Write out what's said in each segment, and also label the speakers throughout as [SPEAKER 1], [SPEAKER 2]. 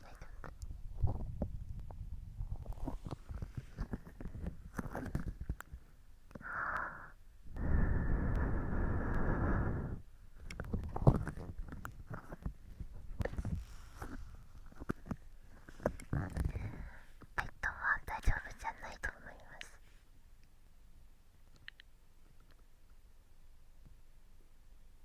[SPEAKER 1] は大丈夫じゃないと思います。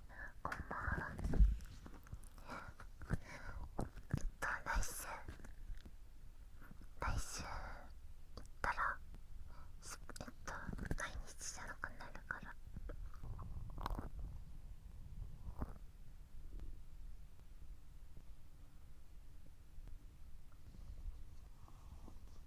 [SPEAKER 1] こんえと来週来週行ったらえっと毎日じゃなくなるから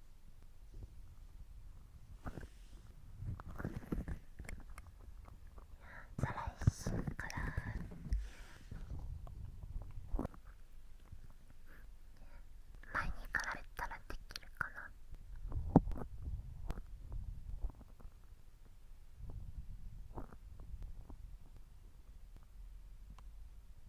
[SPEAKER 1] 再来週から前に比れたらできるかな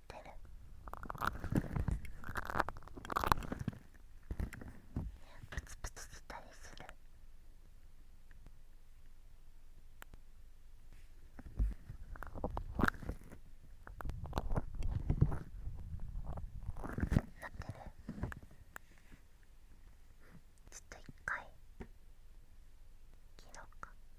[SPEAKER 1] プツプツしたりするなってるちょっと一回切ろか。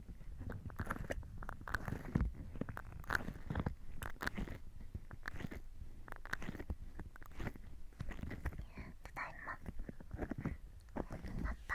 [SPEAKER 1] ただいままた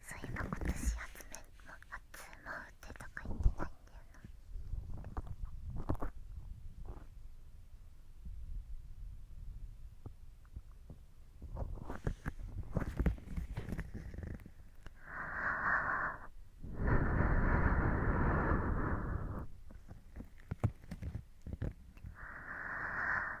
[SPEAKER 1] そういえば今年集めも初てとか言ってないんだよなああ。ああ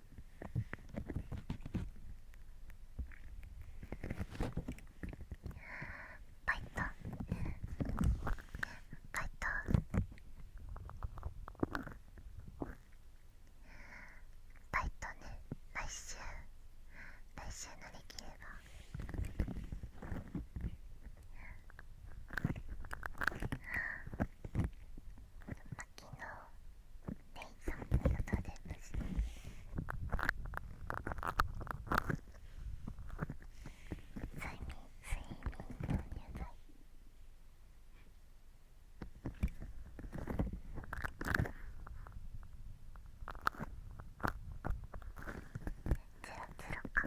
[SPEAKER 1] バイトバイトバイトね来週来週のできればレイさんのりがとうございす睡眠睡眠導入剤ゼロゼロか。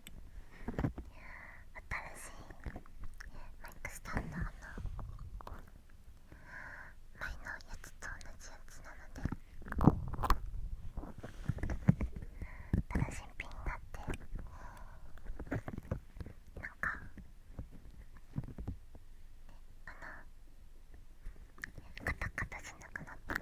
[SPEAKER 1] 新しいマイクスタンドの前のやつと同じやつなので新しいピンになってなんかあのカタカタしなくなった。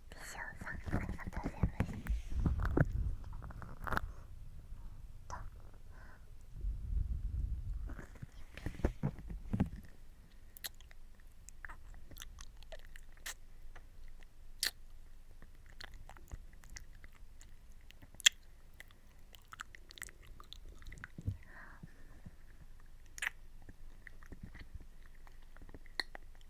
[SPEAKER 1] 西尾さんありがとうございますと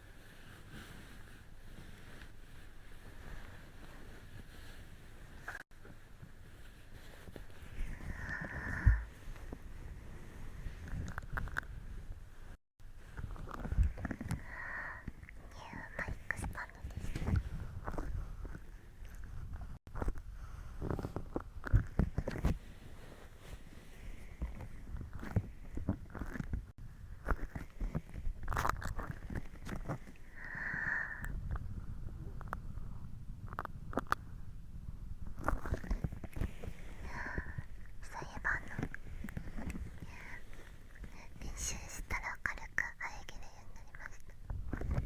[SPEAKER 1] ニューマイクスパンドです。ね。うえばあの練習したら軽く喘げるようになりました。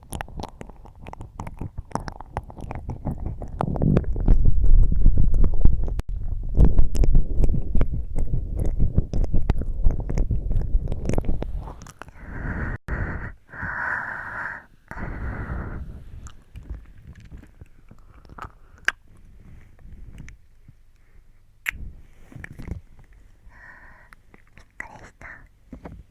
[SPEAKER 1] びっくりした。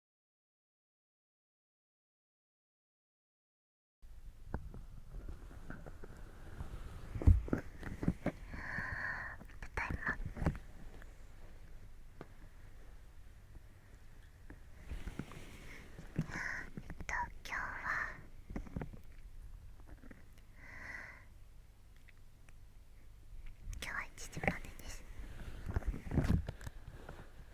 [SPEAKER 1] えっと、今日は今日1時までです。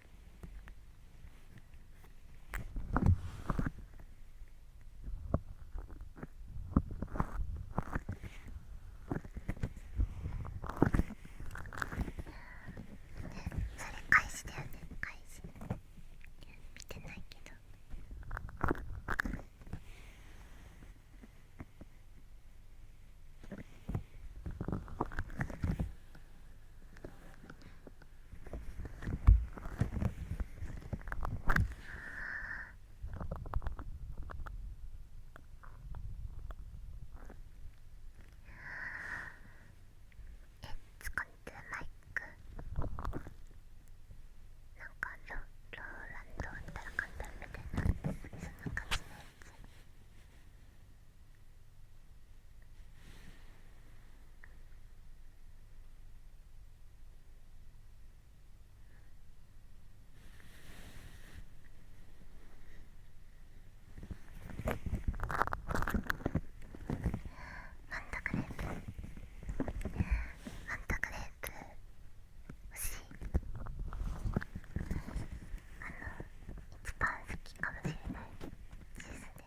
[SPEAKER 2] ね、それ返しだよね返し見てないけど It's got the m i なんかロローランドみたいな簡単みたいなそんな感じのやつ。マントクレープマントクレープ欲しいあの一番好きかもしれないですね。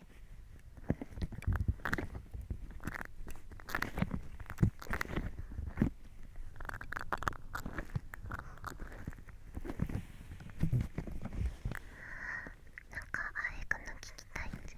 [SPEAKER 2] なんかあれかな聞きたいんで。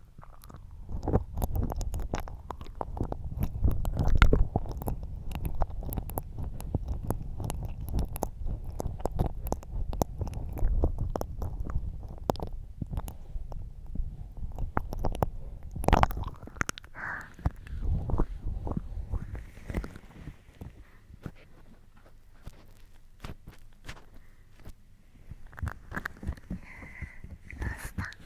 [SPEAKER 2] どうした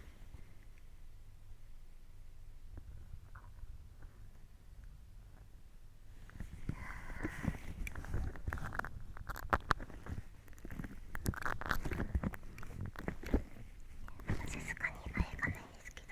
[SPEAKER 2] さすがにあれがないんですけど。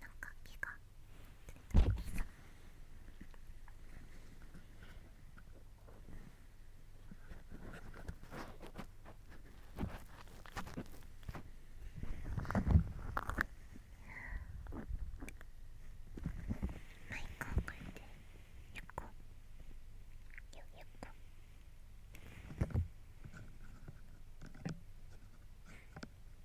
[SPEAKER 2] なんか毛がマイクを変えてよんこよよっっこよっっこよっっこよ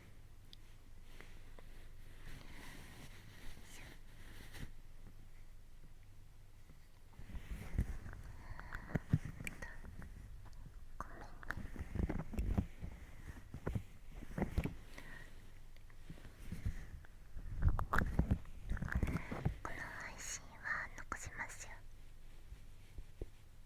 [SPEAKER 2] この配信は残しますよ。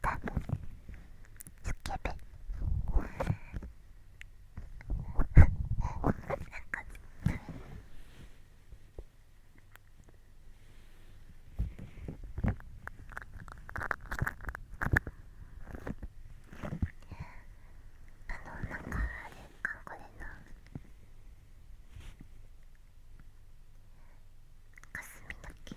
[SPEAKER 2] カムスケベなんかあのなんかあれ韓国でな。霞だけ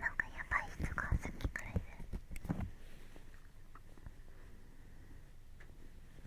[SPEAKER 2] なんかやばい人がさっきからいる。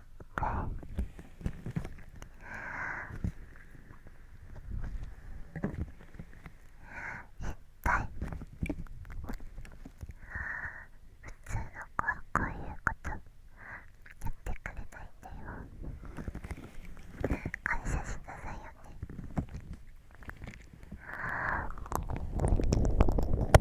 [SPEAKER 2] か一体普通の子はこういうことやってくれないんだよ感謝しなさいよね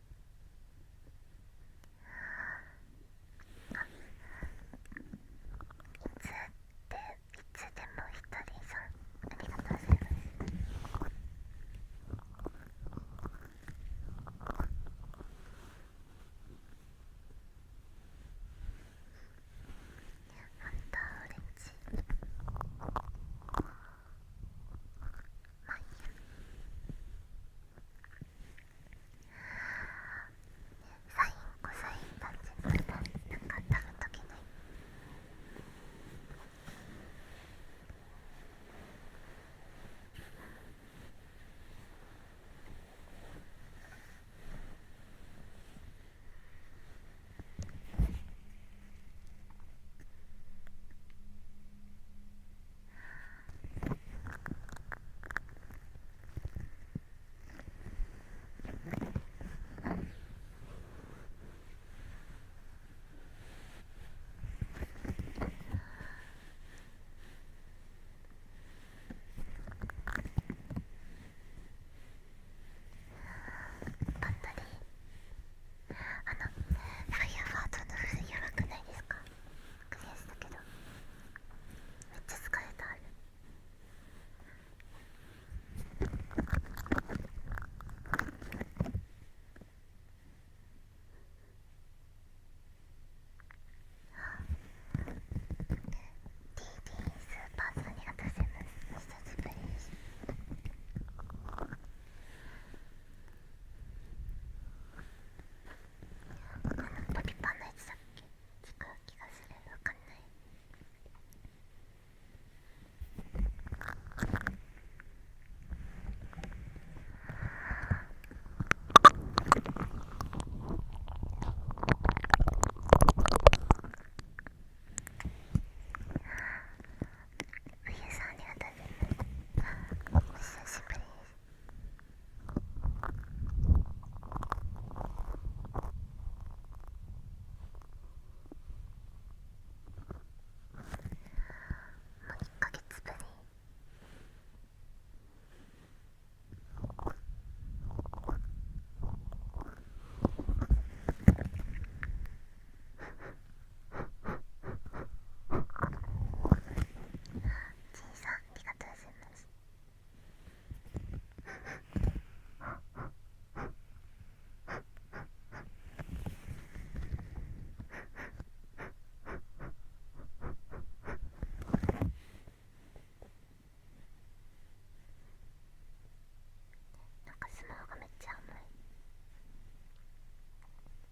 [SPEAKER 2] でいつでも一人さんありがとうございます本当オレンまあいいやサインコサインパンチなか多分解けないぱっとりあのファイヤーファートの風やばくないですかクリアしたけどめっちゃ疲れたあるあ DD スーパーさんありがとうございます久しぶりこのポリパンのやつだっけ違う気がするわかんないゆうさんありがとうござい久しぶりですもう1ヶ月ぶりさんありがとうございます。なんかスマホがめっちゃ甘い。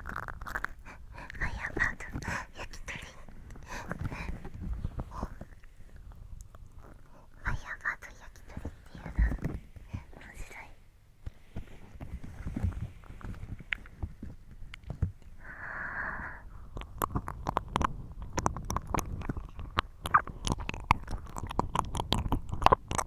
[SPEAKER 2] I am out yakitori. I am out yakitori っていうの面白い。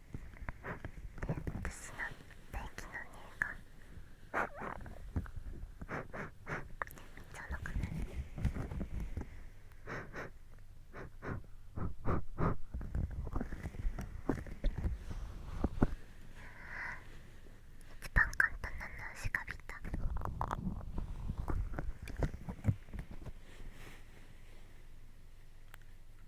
[SPEAKER 2] ックスの電気の匂いがちゃなくなる一番簡単なのはしがびた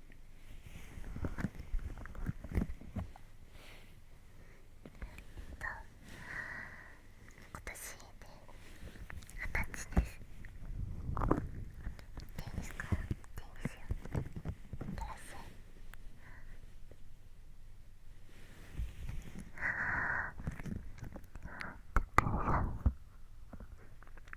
[SPEAKER 2] えっと。今年で二十歳ですいテニスからテニスよプああ。ああ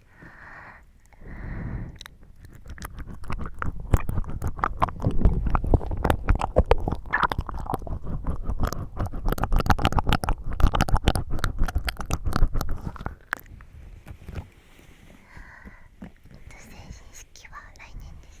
[SPEAKER 2] 成人式は来年です。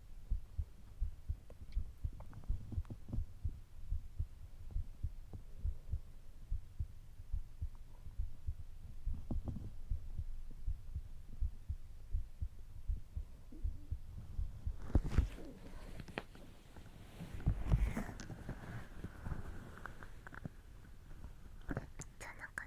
[SPEAKER 2] ちゃ仲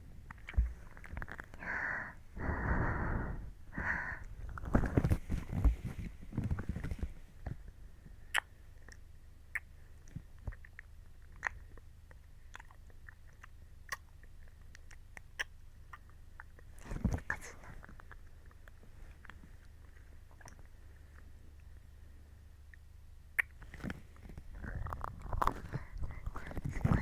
[SPEAKER 2] すごいな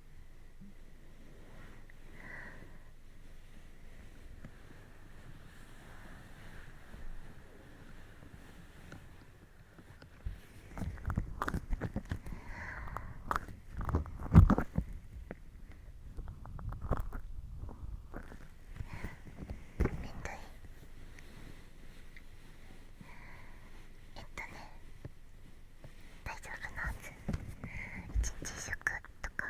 [SPEAKER 2] ん。えっとね大丈夫なはず一日食とか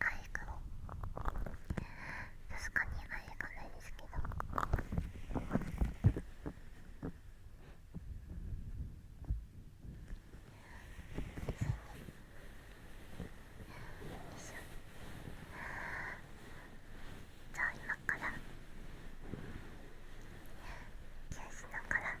[SPEAKER 2] アイカメ確かにアイないですけど。じゃあ今から気をながらよいしょ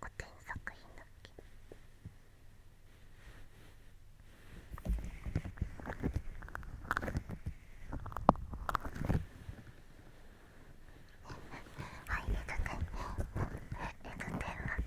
[SPEAKER 2] 古典作品だっけはい、エグテンエグテンはす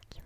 [SPEAKER 2] 気持ちいい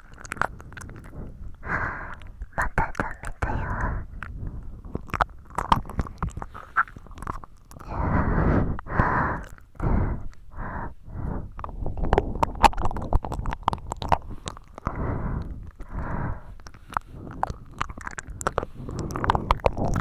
[SPEAKER 3] またダメだよもう我慢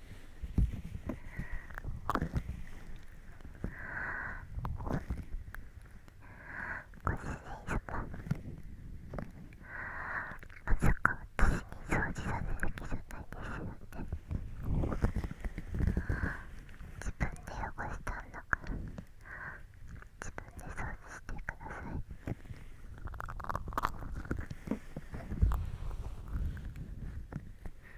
[SPEAKER 3] ご主人様まさか私に掃除させる気じゃないですよね自分で汚したんだから自分で掃除してください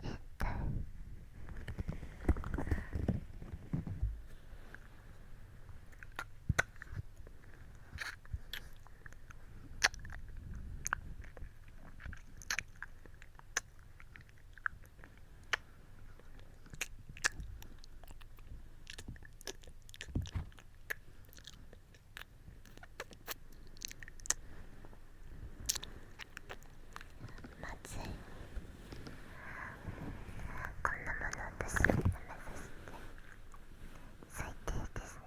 [SPEAKER 3] 痛いまずいこんなもの私に舐めさせて最低ですね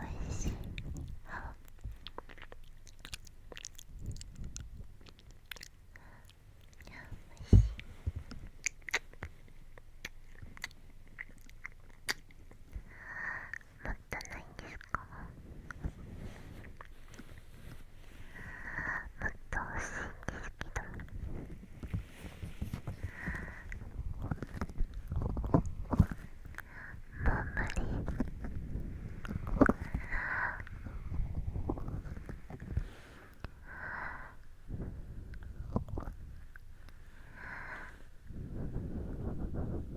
[SPEAKER 3] おいしい。おいしい。もっとないんですかもっと欲しいんですけどもう無理もう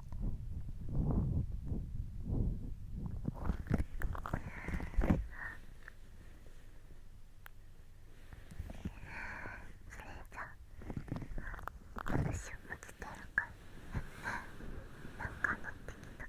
[SPEAKER 3] 私も来てるかなんか乗ってきた。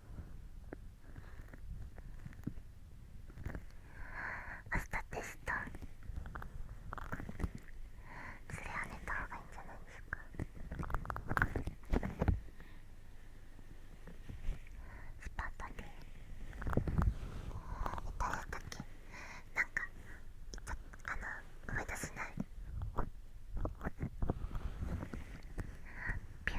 [SPEAKER 3] 明日テストそれは寝たほうがいいんじゃないですかスパートでい誰だたっけなんかあの思い出せないピュー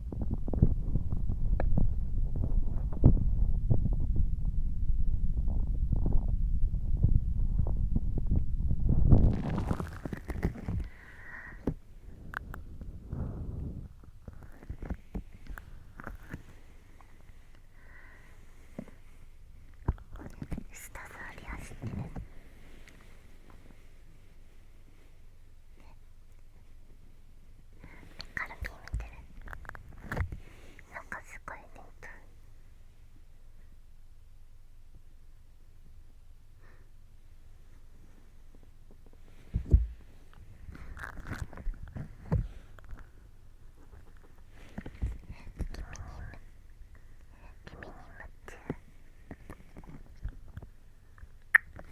[SPEAKER 3] 下座り走ってる、ね、カルピー見てるなんかすごいねと君に夢中。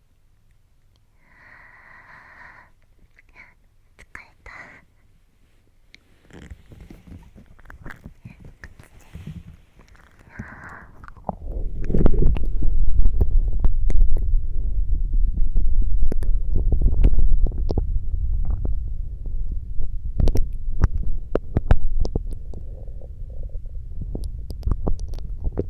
[SPEAKER 3] 疲れた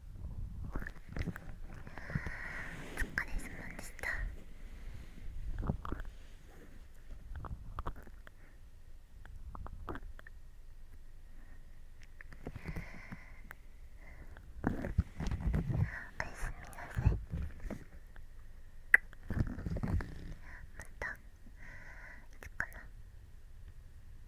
[SPEAKER 3] お疲れ様でしたおやすみなさいまたいつかな